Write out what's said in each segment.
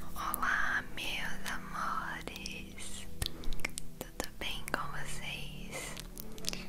Olá, meus amores, tudo bem com vocês?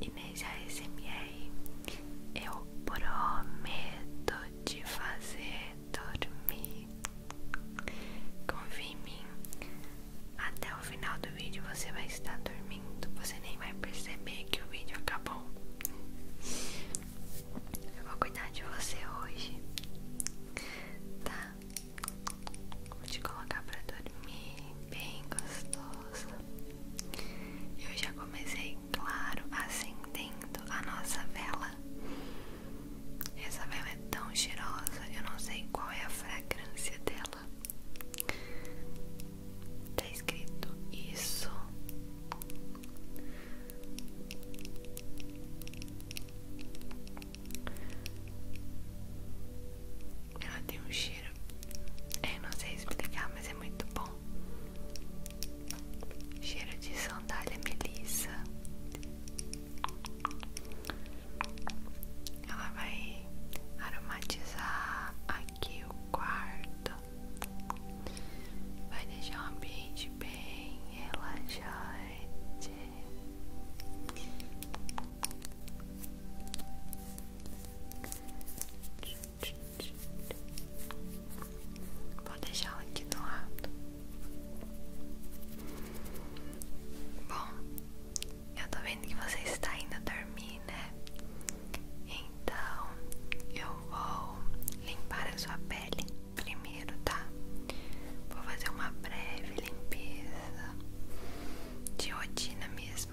E nesse ASMR eu prometo te fazer dormir. Confia em mim. Até o final do vídeo você vai estar dormindo. Você nem vai perceber que o vídeo acabou. Eu vou cuidar de você hoje. Tá? Vou te colocar pra dormir bem gostoso. Eu já comecei, claro, acendendo a nossa vela. Essa vela é tão cheirosa, eu não sei qual é a fragrância dela. Tá escrito isso. Ela tem um cheiro. Eu é, não sei explicar, mas é muito bom. Cheiro de sandália melissa. Ela vai aromatizar aqui o quarto. Vai deixar o ambiente bem relaxante. Vou deixá-la aqui do lado. Bom, eu tô vendo que você está indo dormir, né? Então eu vou limpar a sua pele primeiro, tá? Vou fazer uma breve limpeza de rotina mesmo.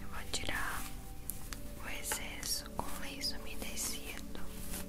Eu vou tirar o excesso com lenço umedecido. Vou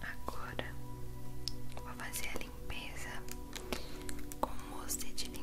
Agora vou fazer a limpeza com mousse de limpeza.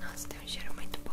Nossa, tem um cheiro muito bom.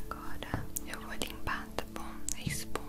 Agora eu vou limpar, tá bom? A espuma.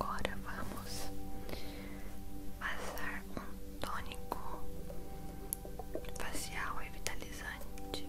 Agora vamos passar um tônico facial e vitalizante.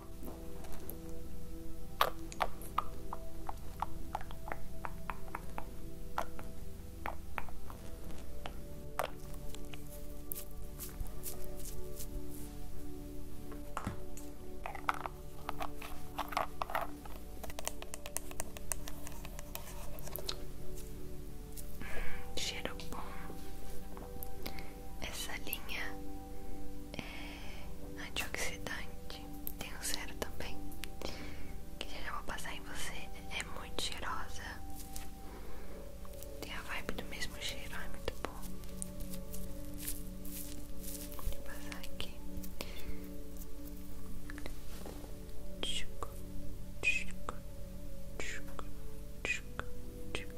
Cheiro bom. Essa linha é antioxidante. Tem um zero também, que já vou passar em você. É muito cheirosa. Tem a vibe do mesmo cheiro, é muito bom. Vou passar aqui. Tchucu, tchucu, tchucu, tchucu, tchucu.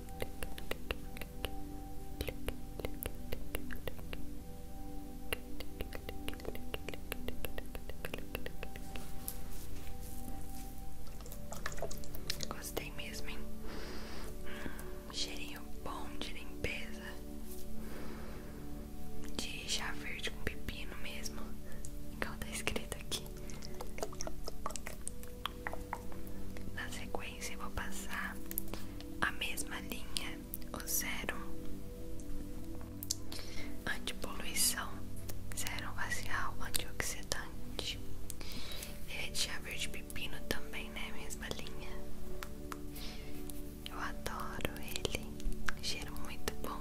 Gostei mesmo, hein? Hum, cheirinho bom de limpeza, de chá verde com pepino mesmo, igual tá escrito aqui. Na sequência, vou passar a mesma linha, o zero antipoluição, zero facial antioxidante. Ele é de chá verde pepino também, né? Mesma linha. Eu adoro ele, cheiro muito bom.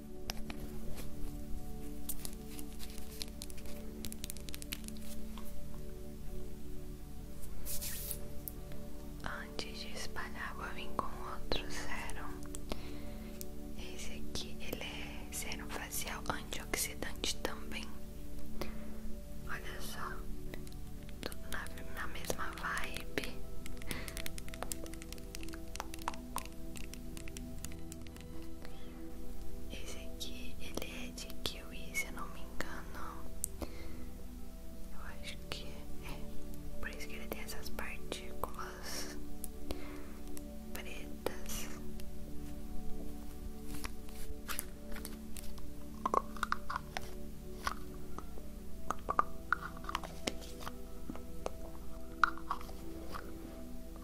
Antes de espalhar, vou vir com outro sérum. Esse aqui ele é sérum facial antioxidante também. Olha só, tudo na, na mesma vibe. Esse aqui, ele é de kiwi, se eu não me engano. Eu acho que é. Por isso que ele tem essas partículas pretas.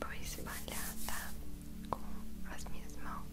Vou espalhar, tá? Com as minhas mãos.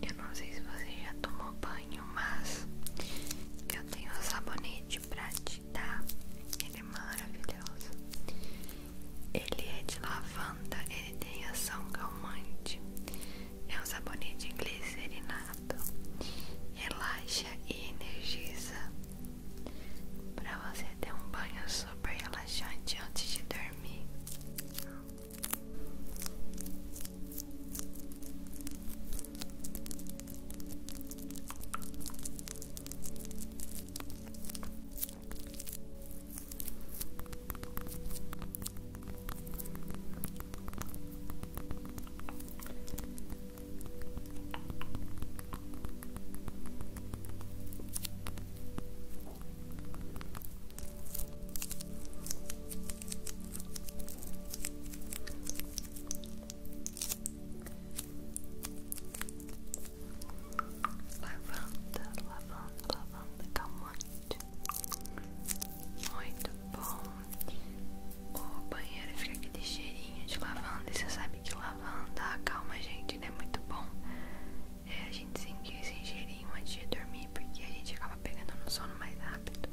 Eu não sei se você já tomou banho, mas eu tenho um sabonete pra te dar. Ele é maravilhoso. Ele é de lavanda, ele tem ação calmante. É um sabonete glicerinado. Relaxa e energiza. para você ter um banho super relaxante antes de dormir. Lavanda, lavanda, lavanda, come on. Muito bom. O banheiro fica aquele cheirinho de lavanda. E você sabe que lavanda calma a gente, é Muito bom. É, a gente sentiu esse cheirinho antes de dormir, porque a gente acaba pegando no sono mais rápido.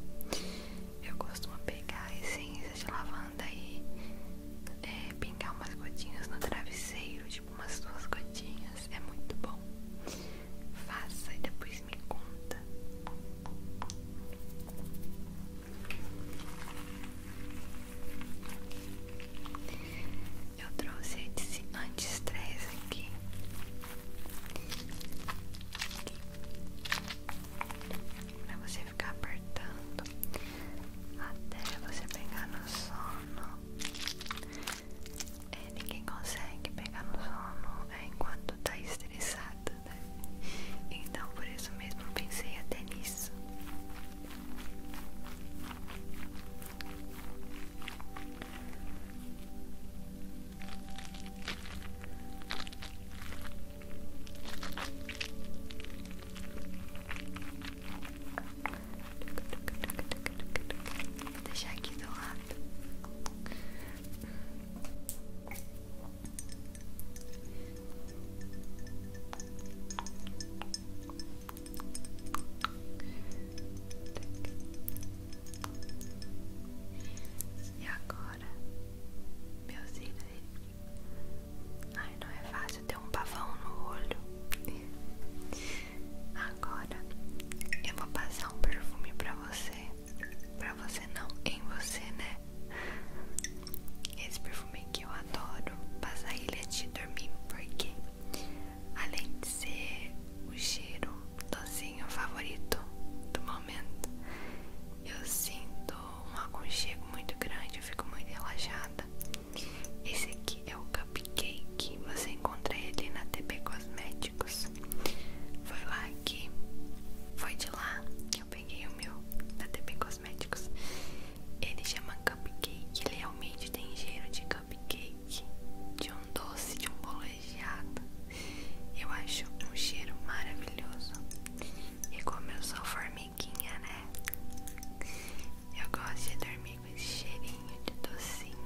Eu costumo pegar a essência de lavanda e é, umas gotinhas no travesseiro, tipo umas duas gotinhas. É muito bom. Faça e depois me conta. Eu trouxe esse anti-estresse aqui. aqui. Pra você ficar apertando até você pegar no sono é, ninguém consegue pegar no sono é, enquanto tá estressado, né? Então por isso mesmo pensei até nisso. Vou deixar aqui do lado. E agora, meu ídolos. Ai, não é fácil ter um pavão no olho. Agora eu vou passar um perfume para você. para você não, em você, né? Esse perfume que eu adoro. Passar ele antes de dormir, porque além de ser o cheiro docinho favorito do momento, eu sinto um aconchego muito grande, eu fico muito relaxada. Esse aqui é o Cup Cupcake. Você encontra ele na TP Cosméticos. Foi lá que. Foi de lá que eu peguei o meu da TP Cosméticos. Ele chama Cupcake. Ele realmente tem cheiro de cupcake. De um doce, de um bolejado. Eu acho um cheiro maravilhoso. E como eu sou formiguinha, né? Eu gosto de dormir com esse cheirinho de docinho.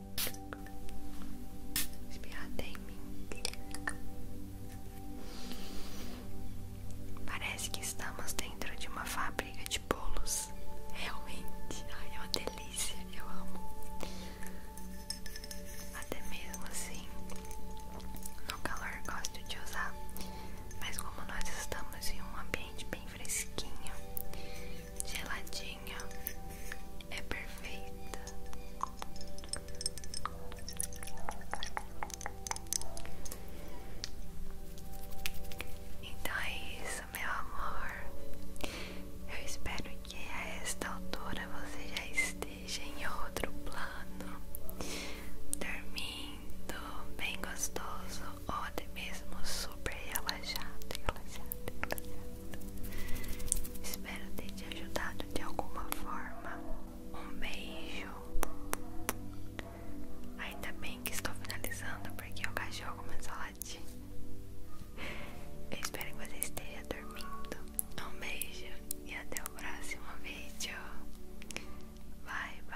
Espirra até em mim. Parece que estamos dentro de uma fábrica de bolos. Realmente, é uma delícia, eu amo. Até mesmo assim, no calor gosto de usar, mas como nós estamos em um ambiente bem fresquinho, geladinho é perfeita. Então é isso, meu amor. Eu espero que a esta altura você já esteja em outro plano, dormindo bem gostoso, ou até mesmo super relaxado, relaxado, relaxado. Espero ter te ajudado de alguma forma. Um beijo. Ainda bem que estou finalizando porque o cachorro começou a latir. Eu espero que você esteja dormindo. Um beijo e até o próximo vídeo. Bye, bye.